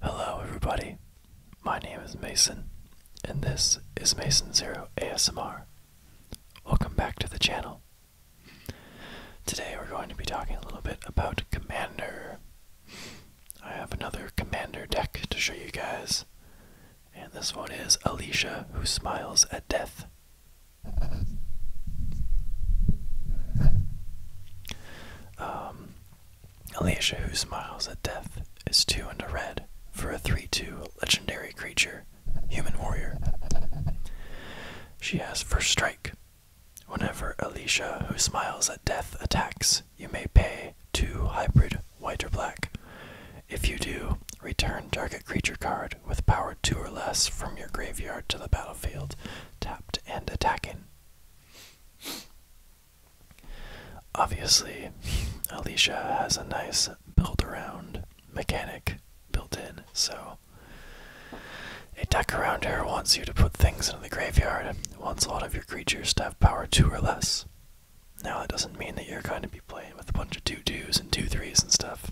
Hello, everybody. My name is Mason, and this is Mason Zero ASMR. Welcome back to the channel. Today, we're going to be talking a little bit about Commander. I have another commander deck to show you guys. And this one is Alicia Who Smiles at Death. Um, Alicia Who Smiles at Death is 2 and a red for a 3 2 legendary creature, Human Warrior. She has First Strike. Whenever Alicia Who Smiles at Death attacks, you may pay two hybrid white or black. If you do, return target creature card with power 2 or less from your graveyard to the battlefield, tapped and attacking. Obviously, Alicia has a nice build around mechanic built in, so a deck around her wants you to put things into the graveyard, wants a lot of your creatures to power two or less. Now that doesn't mean that you're going to be playing with a bunch of two twos and two threes and stuff.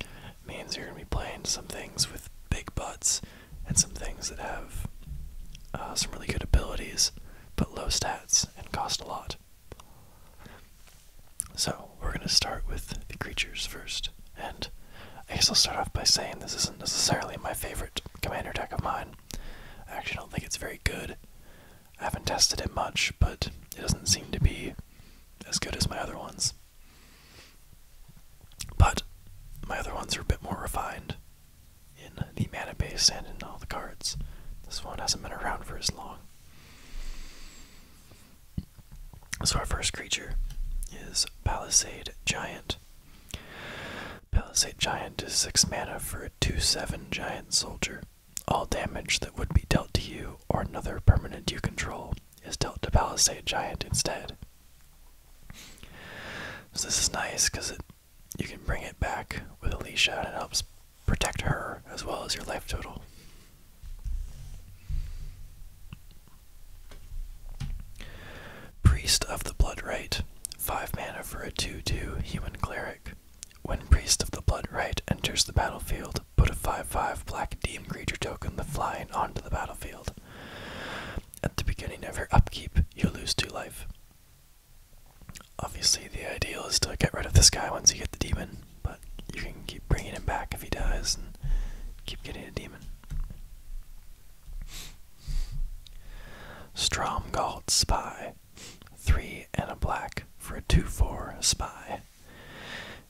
It means you're going to be playing some things with big butts and some things that have uh, some really good abilities but low stats and cost a lot. So we're going to start with the creatures first, and I guess I'll start off by saying this isn't necessarily my favorite commander deck of mine. I actually don't think it's very good. I haven't tested it much, but it doesn't seem to be as good as my other ones. But my other ones are a bit more refined in the mana base and in all the cards. This one hasn't been around for as long. So, our first creature is Palisade Giant. Palisade Giant is 6 mana for a 2 7 Giant Soldier. All damage that would be dealt to you or another permanent you control is dealt to Palisade Giant instead. So this is nice because you can bring it back with Alicia and it helps protect her as well as your life total. Priest of the Blood Rite Five mana for a 2-2 human cleric. When Priest of the Blood Rite enters the battlefield, put a 5-5 black demon creature token, the flying, onto the battlefield. At the beginning of your upkeep, you lose two life. Obviously, the ideal is to get rid of this guy once you get the demon, but you can keep bringing him back if he dies and keep getting a demon. Stromgald Spy. Three and a black for a 2 4 spy.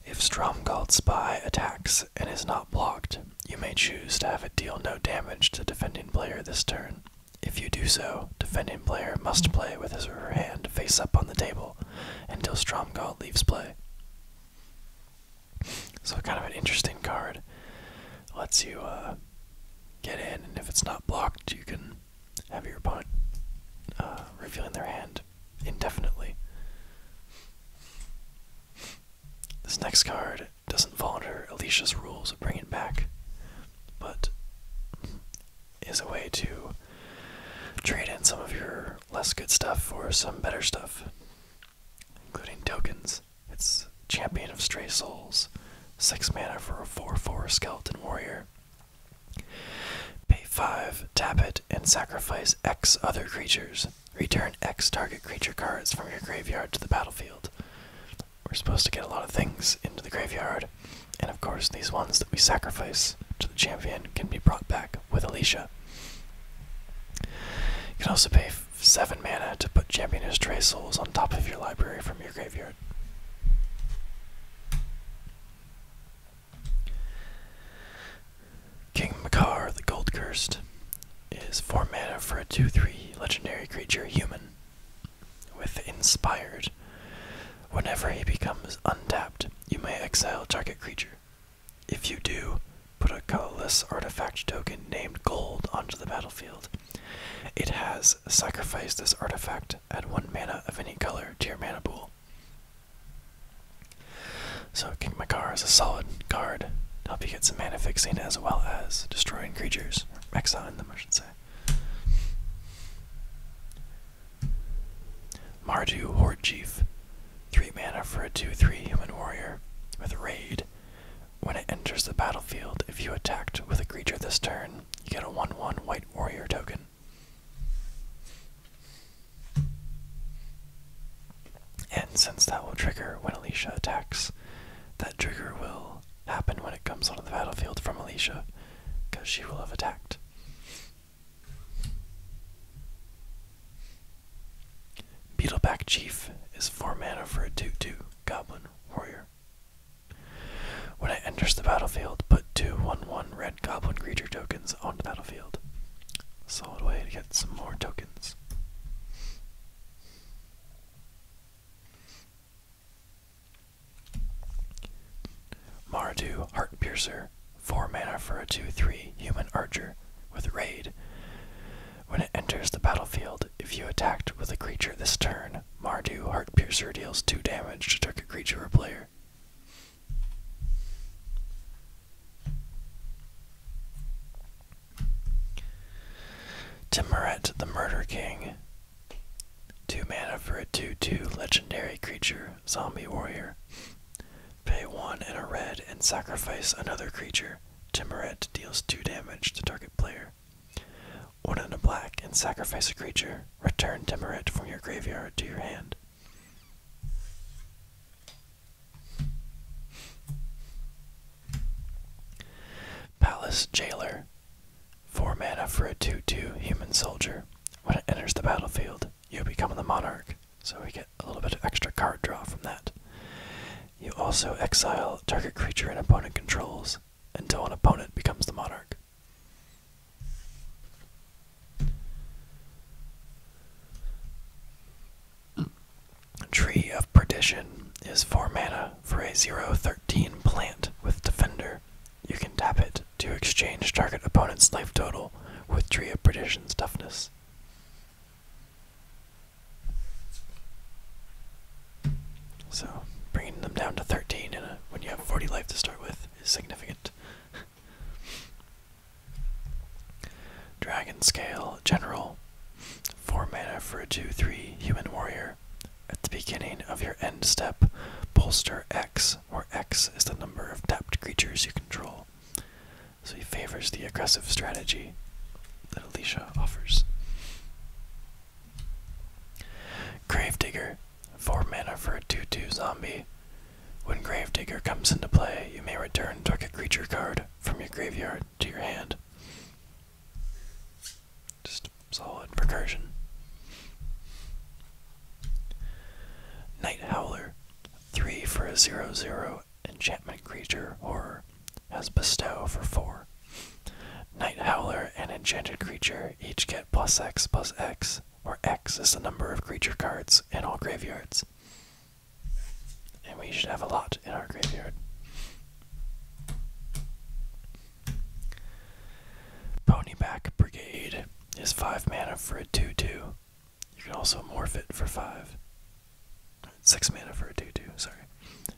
If Stromgald Spy attacks and is not blocked, you may choose to have it deal no damage to defending player this turn. If you do so, defending player must play with his or her hand face up on the table until Stromgald leaves play. So kind of an interesting card. Lets you uh, get in, and if it's not blocked, you can have your opponent uh, revealing their hand indefinitely. This next card doesn't fall under Alicia's rules of bringing back, but is a way to trade in some of your less good stuff for some better stuff including tokens. It's Champion of Stray Souls, 6 mana for a 4 4 Skeleton Warrior. Pay 5, tap it, and sacrifice X other creatures. Return X target creature cards from your graveyard to the battlefield. We're supposed to get a lot of things into the graveyard, and of course, these ones that we sacrifice to the champion can be brought back with Alicia. You can also pay 7 mana to put Championer's Trace Souls on top of your library from your graveyard. King Makar, the Gold Cursed, is 4 mana for a 2 3 legendary creature human with Inspired. Whenever he becomes untapped, you may exile target creature. If you do, Put a colorless artifact token named Gold onto the battlefield. It has sacrificed this artifact at one mana of any color to your mana pool. So, King Makar is a solid card to help you get some mana fixing as well as destroying creatures, or exiling them, I should say. Mardu Horde Chief, 3 mana for a 2 3 human warrior with Raid. When it enters the battlefield, if you attacked with a creature this turn, you get a 1 1 White Warrior token. And since that will trigger when Alicia attacks, that trigger will happen when it comes onto the battlefield from Alicia, because she will have attacked. Beetleback Chief is four mana for a 2 2 Goblin Warrior. When it enters the battlefield, put two 1 1 red goblin creature tokens on the battlefield. Solid way to get some more tokens. Heart Piercer 4 mana for a 2 3 human archer with raid. When it enters the battlefield, if you attacked with a creature this turn, Mardu Heartpiercer deals 2 damage to target creature or player. Timoret the Murder King. 2 mana for a 2 2 legendary creature, Zombie Warrior. Pay 1 and a red and sacrifice another creature. Timuret deals 2 damage to target player. One in a black and sacrifice a creature. Return Timuret from your graveyard to your hand. Palace Jailer. 4 mana for a 2 2 human soldier. When it enters the battlefield, you become the monarch, so we get a little bit of extra card draw from that. You also exile target creature an opponent controls until an opponent becomes the monarch. Tree of Perdition is 4 mana for a 013 plant with Defender. You can tap it to exchange target opponent's life total with Tree of Perdition's toughness. So bringing them down to 13 when you have 40 life to start with is significant. Dragon Scale General. 4 mana for a 2 3 human warrior. At the beginning of your end step, bolster X, or X is the number of tapped creatures you control so he favors the aggressive strategy that Alicia offers. Grave Digger, 4 mana for a 2 2 zombie. When Grave Digger comes into play, you may return target creature card from your graveyard to your hand. Just solid recursion. Night Howler, 3 for a 0 0 enchantment creature horror has Bestow for 4. Night Howler and Enchanted Creature each get plus X plus X, where X is the number of creature cards in all graveyards. And we should have a lot in our graveyard. Ponyback Brigade is 5 mana for a 2 2. You can also morph it for 5. Six mana for a 2 2, sorry.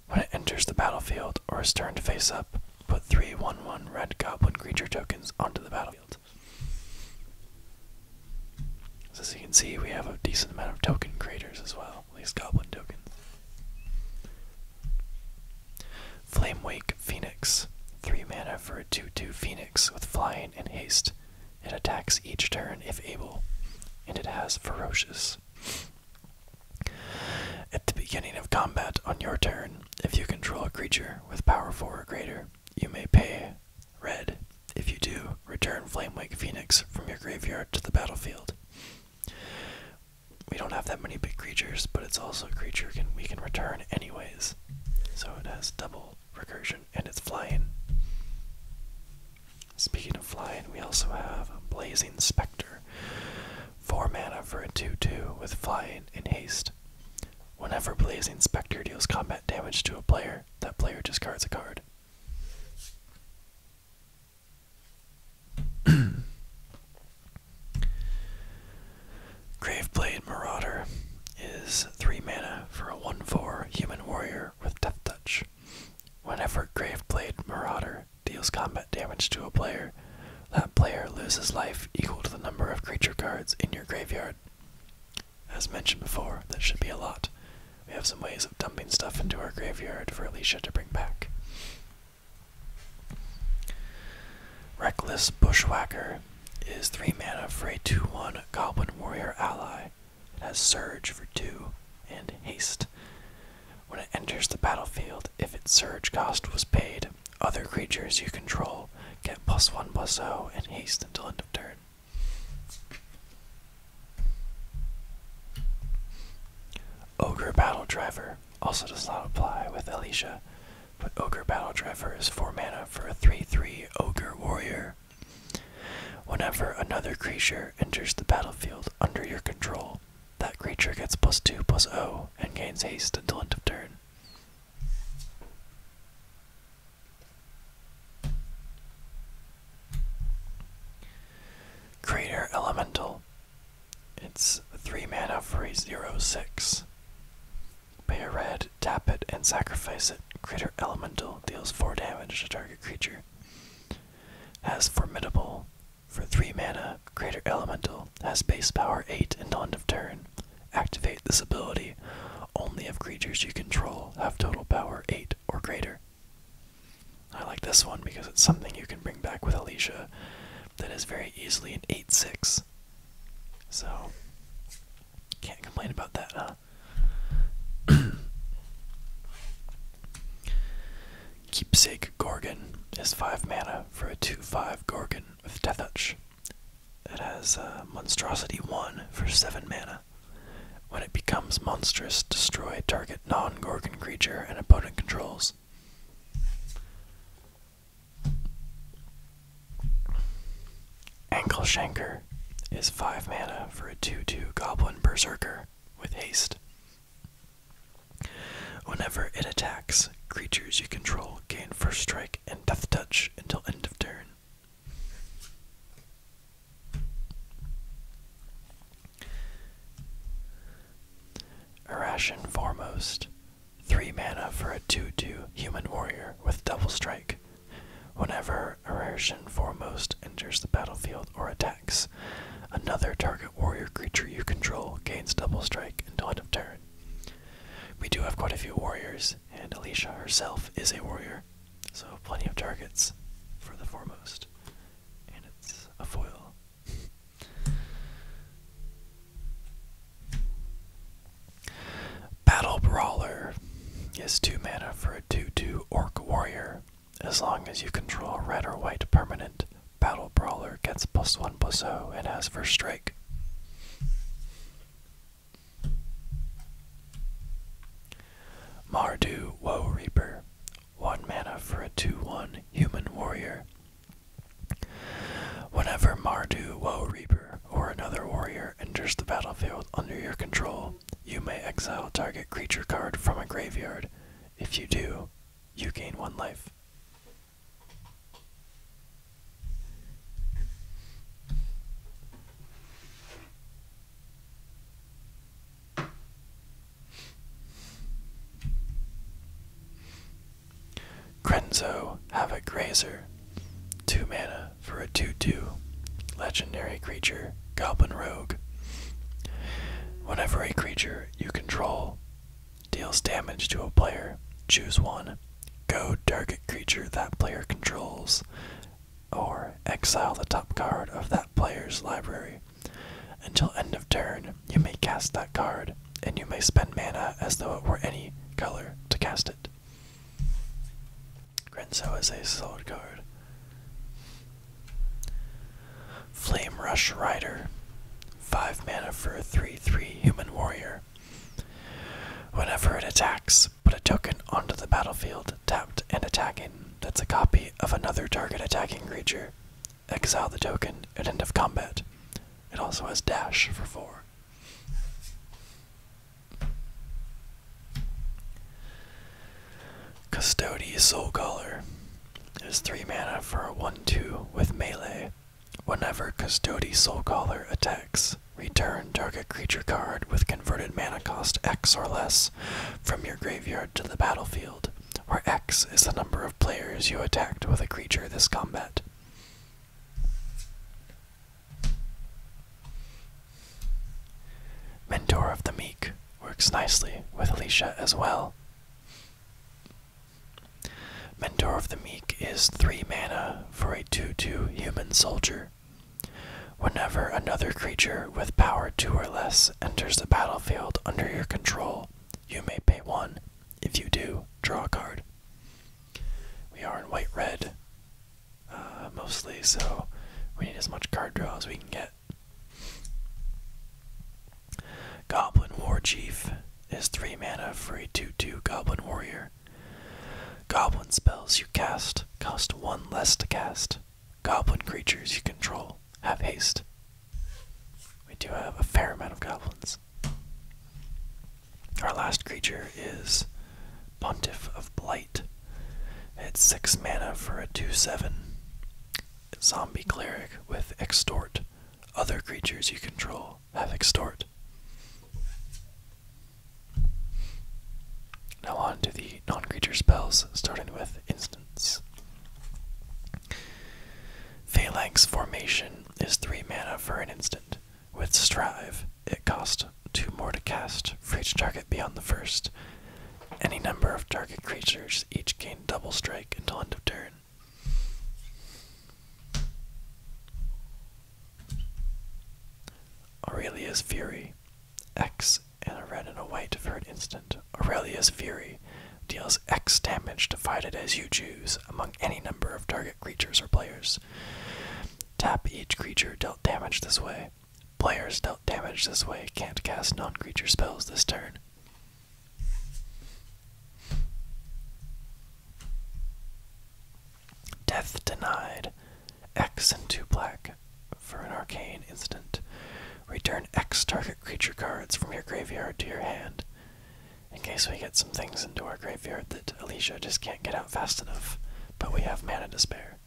When it enters the battlefield or is turned face up, put three 1 1 red goblin creature tokens onto the battlefield. as you can see, we have a decent amount of token creators as well, at least goblin tokens. Flame Wake Phoenix. 3 mana for a 2 2 Phoenix with flying and haste. It attacks each turn if able, and it has Ferocious. At the beginning of combat on your turn, if you control a creature with power 4 or greater, you may pay red. If you do, return Flamewake Phoenix from your graveyard to the battlefield. We don't have that many big creatures, but it's also a creature we can return anyways. So it has double recursion and it's flying. Speaking of flying, we also have Blazing Spectre. 4 mana for a 2 2 with flying and haste. Whenever Blazing Spectre deals combat damage to a player, that player discards a card. Graveblade Marauder is 3 mana for a 1 4 human warrior with Death Touch. Whenever Graveblade Marauder deals combat damage to a player, that player loses life equal to the number of creature cards in your graveyard. As mentioned before, that should be a lot. We have some ways of dumping stuff into our graveyard for Alicia to bring back. Reckless Bushwhacker is 3 mana for a 2 1 Goblin Warrior ally. It has surge for two and haste. When it enters the battlefield, if its surge cost was paid, other creatures you control get plus one plus zero and haste until end of turn. Ogre Battle Driver also does not apply with Alicia, but Ogre Battle Driver is 4 mana for a 3 3 Ogre Warrior Whenever another creature enters the battlefield under your control, that creature gets plus 2 plus 0 and gains haste until end of turn. Creature Elemental. It's 3 mana for a 0 6. Pay a red, tap it, and sacrifice it. Creature Elemental deals 4 damage to target creature. Has Formidable. For 3 mana, greater Elemental has base power 8 and end of turn. Activate this ability only if creatures you control have total power 8 or greater. I like this one because it's something you can bring back with Alicia that is very easily an 8 6. So, can't complain about that, huh? Keepsake Gorgon is 5 mana for a 2 5 Gorgon with Death Touch. It has uh, Monstrosity 1 for 7 mana. When it becomes monstrous, destroy target non Gorgon creature and opponent controls. Ankle Shanker is 5 mana for a 2 2 Goblin Berserker with haste. Whenever it attacks, creatures you control gain first strike and death touch until end of turn. Irration Foremost. 3 mana for a 2 2 Human Warrior with Double Strike. Whenever Eretion foremost enters the battlefield or attacks, another target warrior creature you control gains double strike until end of turn. We do have quite a few warriors, and Alicia herself is a warrior, so plenty of targets for the foremost. And it's a foil. Battle Brawler is 2 mana for a 2 2 Orc Warrior as long as you control a red or white permanent, Battle Brawler gets plus 1 plus 0 and has first strike. Mardu Woe Reaper, 1 mana for a 2 1 human warrior. Whenever Mardu Woe Reaper or another warrior enters the battlefield under your control, you may exile target creature card from a graveyard. If you do, you gain one life. Crenzo Havoc Grazer. Two mana for a 2 2 legendary creature, Goblin Rogue. Whenever a creature you control deals damage to a player, choose one. Go target creature that player controls, or exile the top card of that player's library. Until end of turn, you may cast that card, and you may spend mana as though it were any color to cast it. Grenzo is a solid card. Flame Rush Rider. 5 mana for 3 3 human warrior. Whenever it attacks, put a token onto the battlefield, tapped and attacking. That's a copy of another target attacking creature. Exile the token at end of combat. It also has dash for 4. Custody Soul Caller is 3 mana for a 1 2 with melee. Whenever Custody Soul Caller attacks, return target creature card with converted mana cost X or less from your graveyard to the battlefield, where X is the number of players you attacked with a creature this combat. Mentor of the Meek works nicely with Alicia as well. Mentor of the Meek is 3 mana for a 2 2 human soldier. Whenever another creature with power 2 or less enters the battlefield under your control, you may pay 1. If you do, draw a card. We are in white red. Uh, mostly, so we need as much card draw as we can get. Goblin War Chief is 3 mana for a 2 2 Goblin Warrior. Goblin spells you cast cost 1 less to cast. Goblin creatures you control have haste. We do have a fair amount of goblins. Our last creature is Pontiff of Blight. It's 6 mana for a 2 7. Zombie Cleric with Extort. Other creatures you control have Extort. Now on to the non creature spells, starting with instants. Phalanx Formation is 3 mana for an instant. With Strive, it costs two more to cast, for each target beyond the first. Any number of target creatures each gain double strike until end of turn. Aurelia's Fury. X and a red and a white for an instant. Aurelia's Fury deals X damage divided as you choose among any number of target creatures or players. Tap each creature dealt damage this way. Players dealt damage this way can't cast non creature spells this turn. Death denied. X and 2 black for an arcane instant. Return X target creature cards from your graveyard to your hand. In case we get some things into our graveyard that Alicia just can't get out fast enough, but we have mana to spare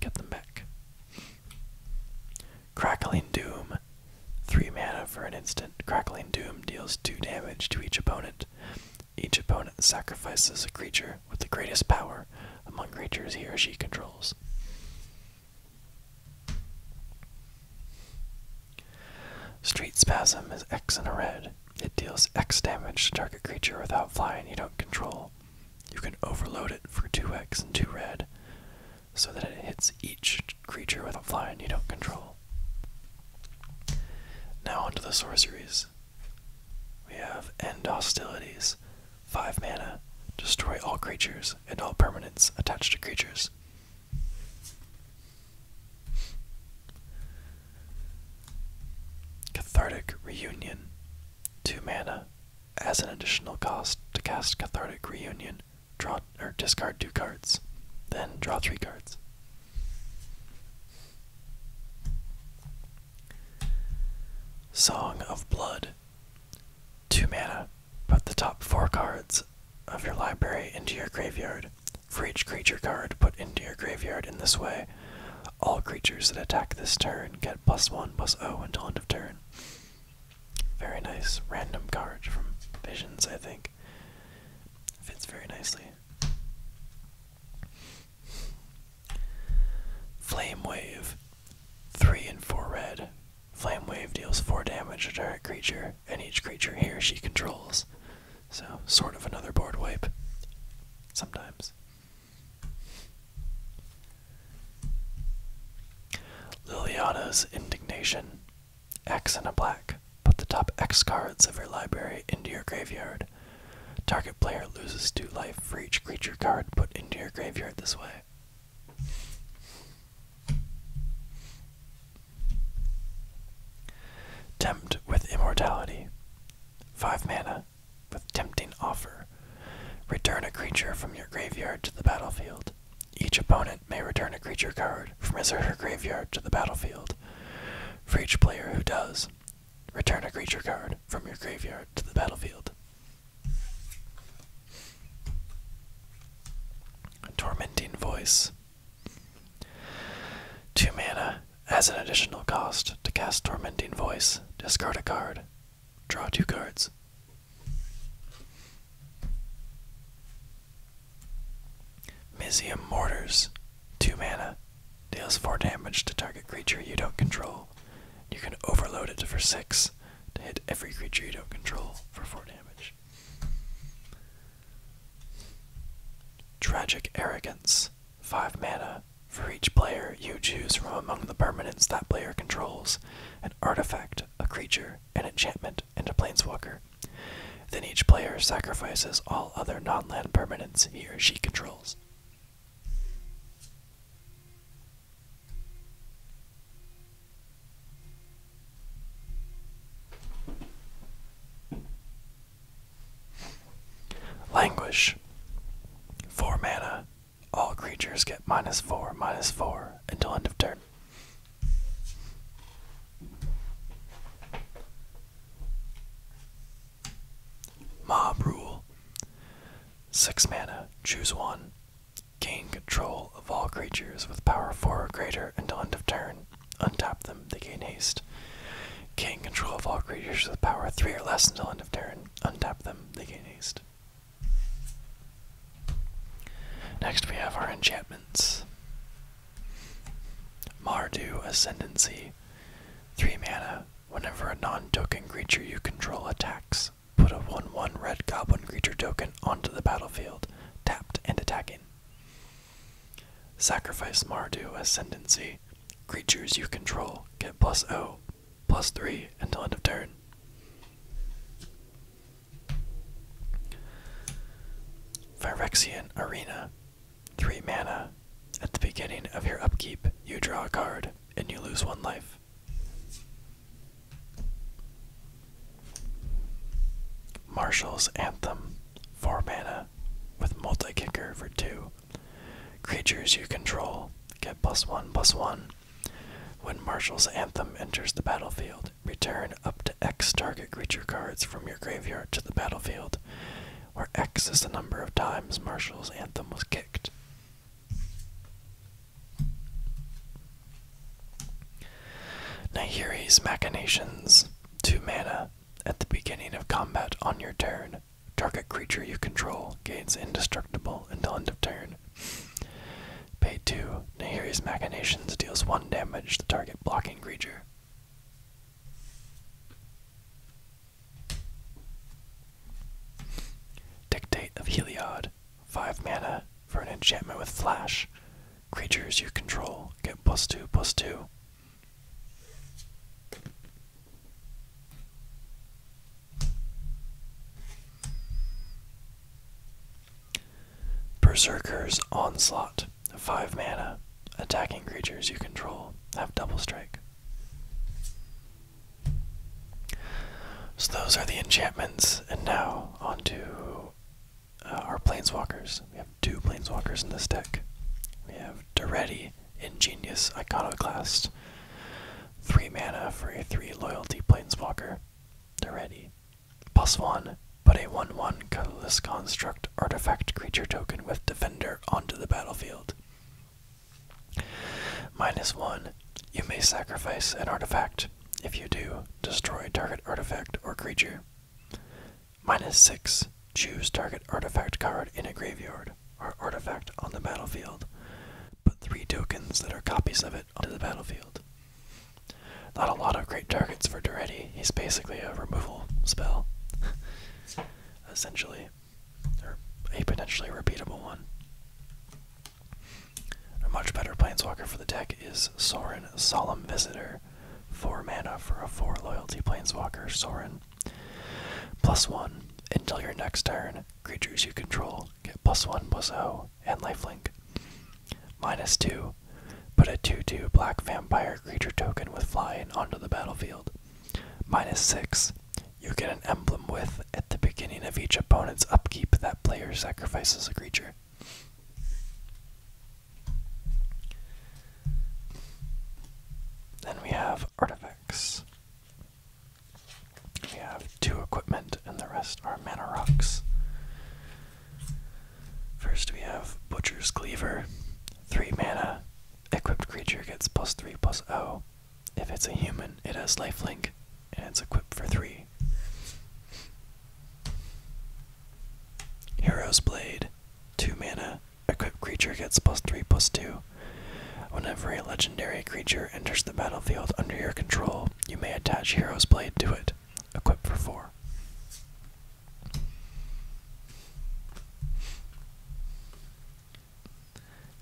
get them back. Crackling Doom. 3 mana for an instant. Crackling Doom deals 2 damage to each opponent. Each opponent sacrifices a creature with the greatest power among creatures he or she controls. Street Spasm is X in a red. It deals X damage to target creature without flying you don't control. You can overload it for 2x and 2 red so that it hits each creature with a flying you don't control. Now onto the sorceries. We have End Hostilities, 5 mana, destroy all creatures and all permanents attached to creatures. Cathartic Reunion, two mana as an additional cost to cast Cathartic Reunion. Draw or discard two cards, then draw three cards. Song of Blood. Two mana. Put the top four cards of your library into your graveyard. For each creature card put into your graveyard in this way, all creatures that attack this turn get plus one +0 until end of turn. Very nice random card from Visions, I think. Fits very nicely. Flame Wave. 3 and 4 red. Flame Wave deals 4 damage to target creature, and each creature here she controls. So, sort of another board wipe. Sometimes. Liliana's indignation. X and a black. Put the top X cards of your library into your graveyard. Target player loses two life for each creature card put into your graveyard this way. Tempt with Immortality. 5 mana with tempting offer. Return a creature from your graveyard to the battlefield. Each opponent may return a creature card from his or her graveyard to the battlefield. For each player who does, return a creature card from your graveyard to the battlefield. A tormenting voice. Two mana, as an additional cost, to cast Tormenting Voice, discard a card. Draw two cards. Mizium Mortars, 2 mana, deals 4 damage to target creature you don't control. You can overload it to for 6 to hit every creature you don't control for 4 damage. Tragic Arrogance, 5 mana, for each player, you choose from among the permanents that player controls an artifact, a creature, an enchantment, and a planeswalker. Then each player sacrifices all other non land permanents he or she controls. Languish. 4 mana. All creatures get minus 4, minus 4 until end of turn. Mob Rule. 6 mana. Choose one. Gain control of all creatures with power 4 or greater until end of turn. Untap them, they gain haste. Gain control of all creatures with power three or less until end of turn. Untap them. They gain haste. Next, we have our enchantments. Mardu Ascendancy. 3 mana. Whenever a non token creature you control attacks, put a 1 1 red goblin creature token onto the battlefield, tapped and attacking. Sacrifice Mardu Ascendancy. Creatures you control get plus O, plus 3 until end of turn. Phyrexian Arena. 3 mana. At the beginning of your upkeep, you draw a card and you lose one life. Marshall's Anthem. 4 mana. With multi kicker for 2. Creatures you control get plus one plus one. When Marshall's Anthem enters the battlefield, return up to X target creature cards from your graveyard to the battlefield, where X is the number of times Marshall's Anthem was kicked. Nahiri's Machinations, 2 mana, at the beginning of combat on your turn, target creature you control gains indestructible until end of turn. Pay 2. Nahiri's Machinations deals 1 damage to target blocking creature. Dictate of Heliod. 5 mana for an enchantment with Flash. Creatures you control get plus 2 plus 2 Berserker's Onslaught, 5 mana. Attacking creatures you control have double strike. So those are the enchantments, and now on to uh, our planeswalkers. We have two planeswalkers in this deck. We have Doretti, Ingenious Iconoclast. 3 mana for a 3 loyalty planeswalker. They're ready. Plus 1. but a 1 1 colorless construct artifact creature token with Defender onto the battlefield. Minus 1. You may sacrifice an artifact. If you do, destroy target artifact or creature. Minus 6. Choose target artifact card in a graveyard or artifact on the battlefield. Put three tokens that are copies of it onto the battlefield. Not a lot of great targets for Duretti. He's basically a removal spell, essentially, or a potentially repeatable one. A much better planeswalker for the deck is Soren, Solemn Visitor. 4 mana for a 4 loyalty planeswalker, Soren. Plus 1. Until your next turn, creatures you control get plus 1 plus plus O and lifelink. Minus 2. Put a 2 2 black vampire creature token with flying onto the battlefield. Minus 6. You get an emblem with at the beginning of each opponent's upkeep that player sacrifices a creature. Then we have artifacts. We have two equipment, and the rest are mana rocks. First, we have Butcher's Cleaver. Three mana. Equipped creature gets plus three plus O. If it's a human, it has lifelink, and it's equipped for three. Hero's Blade. Two mana equipped creature gets plus 3 plus 2. Whenever a legendary creature enters the battlefield under your control, you may attach Hero's Blade to it. Equipped for 4.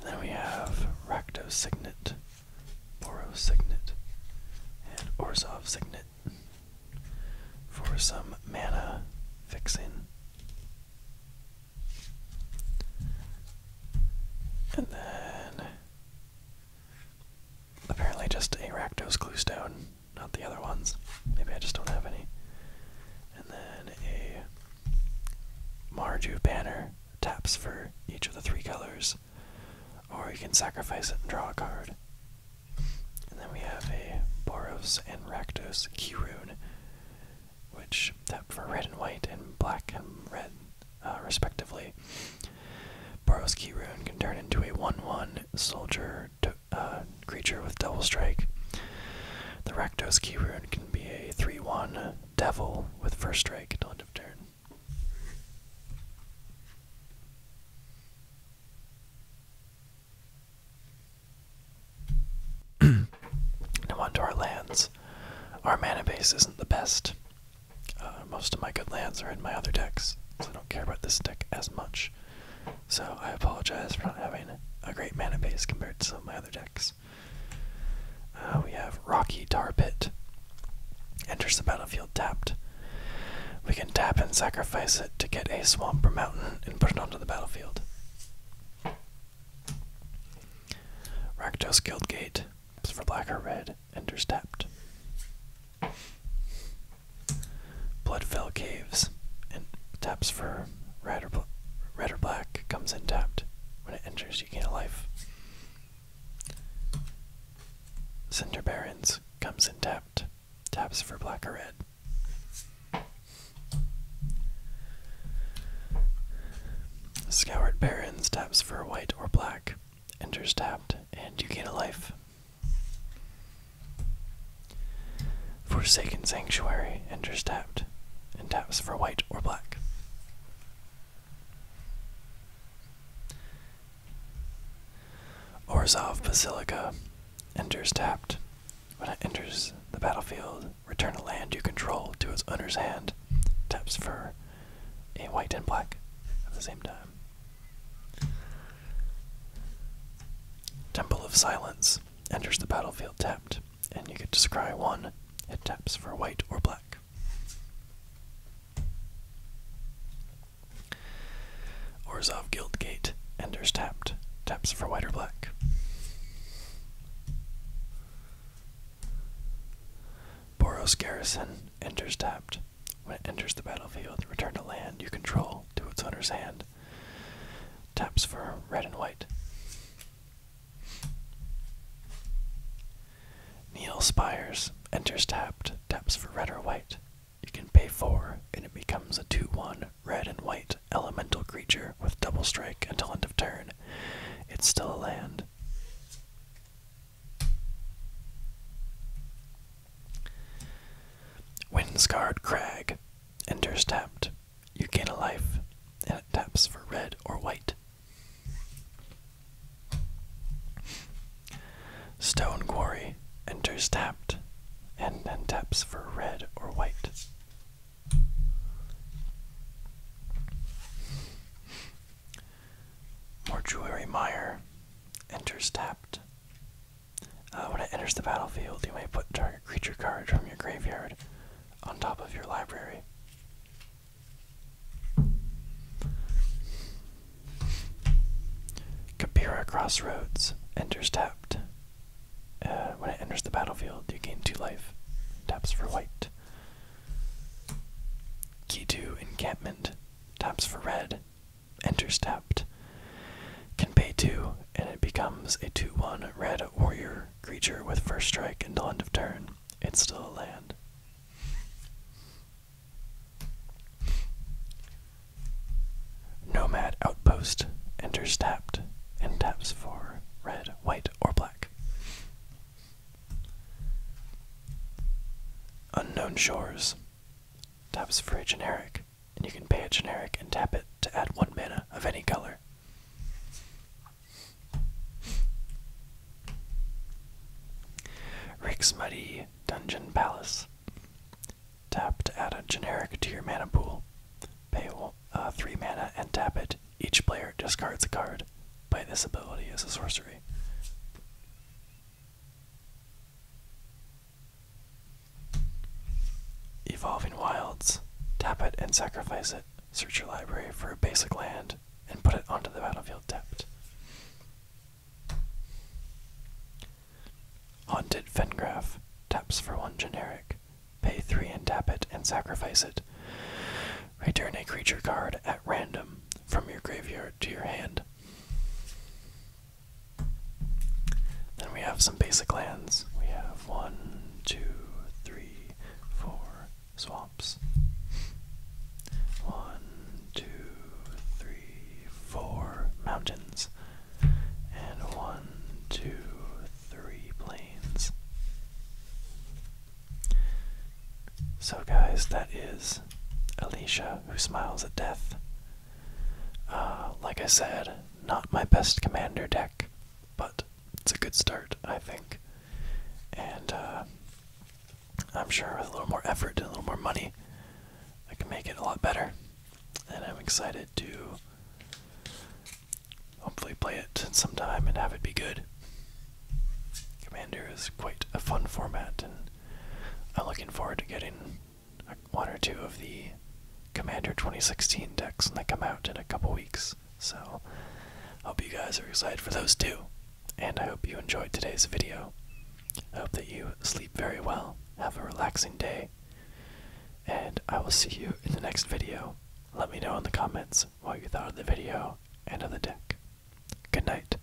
then we have Rakdos Signet, Boros Signet, and Orzov Signet for some mana fixing. And then apparently just a Rakdos Cluestone, not the other ones. Maybe I just don't have any. And then a Marju banner taps for each of the three colors. Or you can sacrifice it and draw a card. And then we have a Boros and Rakdos Kirun which for red and white and black and red, uh, respectively. Boros Key Rune can turn into a 1-1 soldier uh, creature with double strike. The Rakdos Key Rune can be a 3-1 devil with first strike until end of turn. now onto our lands. Our mana base isn't the best. Uh, most of my good lands are in my other decks, so I don't care about this deck as much. So I apologize for not having a great mana base compared to some of my other decks. Uh, we have Rocky Tar Pit. Enters the battlefield tapped. We can tap and sacrifice it to get a swamp or mountain and put it onto the battlefield. Rakdos Guildgate for black or red, Ender's tapped. Bloodfell Caves and taps for red or, red or black, comes in tapped. When it enters, you gain a life. Cinder Barrens comes in tapped. Taps for black or red. Scoured Barons taps for white or black. Enters tapped, and you gain a life. Forsaken Sanctuary enters tapped, and taps for white or black. Orzov Basilica enters tapped when it enters the battlefield, return a land you control to its owner's hand. Taps for a white and black at the same time. Temple of Silence enters the battlefield tapped, and you get to scry one. It taps for white or black. Orzov Guildgate, enters Tapped. Taps for white or black. Boros Garrison, enters Tapped. When it enters the battlefield, return to land you control to its owner's hand. Taps for red and white. Neil Spires enters tapped, taps for red or white. You can pay four, and it becomes a 2 1 red and white elemental creature with double strike until end of turn. It's still a land. Windscarred Crag enters tapped. You gain a life, and it taps for red or white. Stone Quarry enters tapped and then taps for red or white. Mortuary Mire enters tapped. Uh, when it enters the battlefield, you may put target creature card from your graveyard on top of your library. Kabira Crossroads enters tapped. Uh, when it enters the battlefield, you gain two life. Taps for white. Key to encampment. Taps for red. Enter tapped. Can pay two, and it becomes a 2 1 red warrior creature with first strike until end of turn. It's still a land. Nomad Outpost enters tapped and taps for red, white, or black. Unknown Shores taps for a generic, and you can pay a generic and tap it to add one mana of any color. Rick's Muddy Dungeon Palace Tap to add a generic to your mana pool. Pay uh, 3 mana and tap it. Each player discards a card. Play this ability as a sorcery. Evolving Wilds. Tap it and sacrifice it. Search your library for a basic land and put it onto the battlefield tapped. Haunted Fengraf. Taps for one generic. Pay three and tap it and sacrifice it. Return a creature card at random from your graveyard to your hand. Then we have some basic lands. We have one, two, three, four swamps. One, two, three, four mountains and one, two, three planes. So, guys, that is Alicia who smiles at death. Uh, like I said, not my best commander deck, but it's a good start, I think. And uh, I'm sure with a little more effort and a little more money, I can make it a lot better. And I'm excited to Hopefully, play it sometime and have it be good. Commander is quite a fun format, and I'm looking forward to getting one or two of the Commander 2016 decks when they come out in a couple weeks. So, hope you guys are excited for those too, and I hope you enjoyed today's video. I hope that you sleep very well, have a relaxing day, and I will see you in the next video. Let me know in the comments what you thought of the video and of the deck. Good night.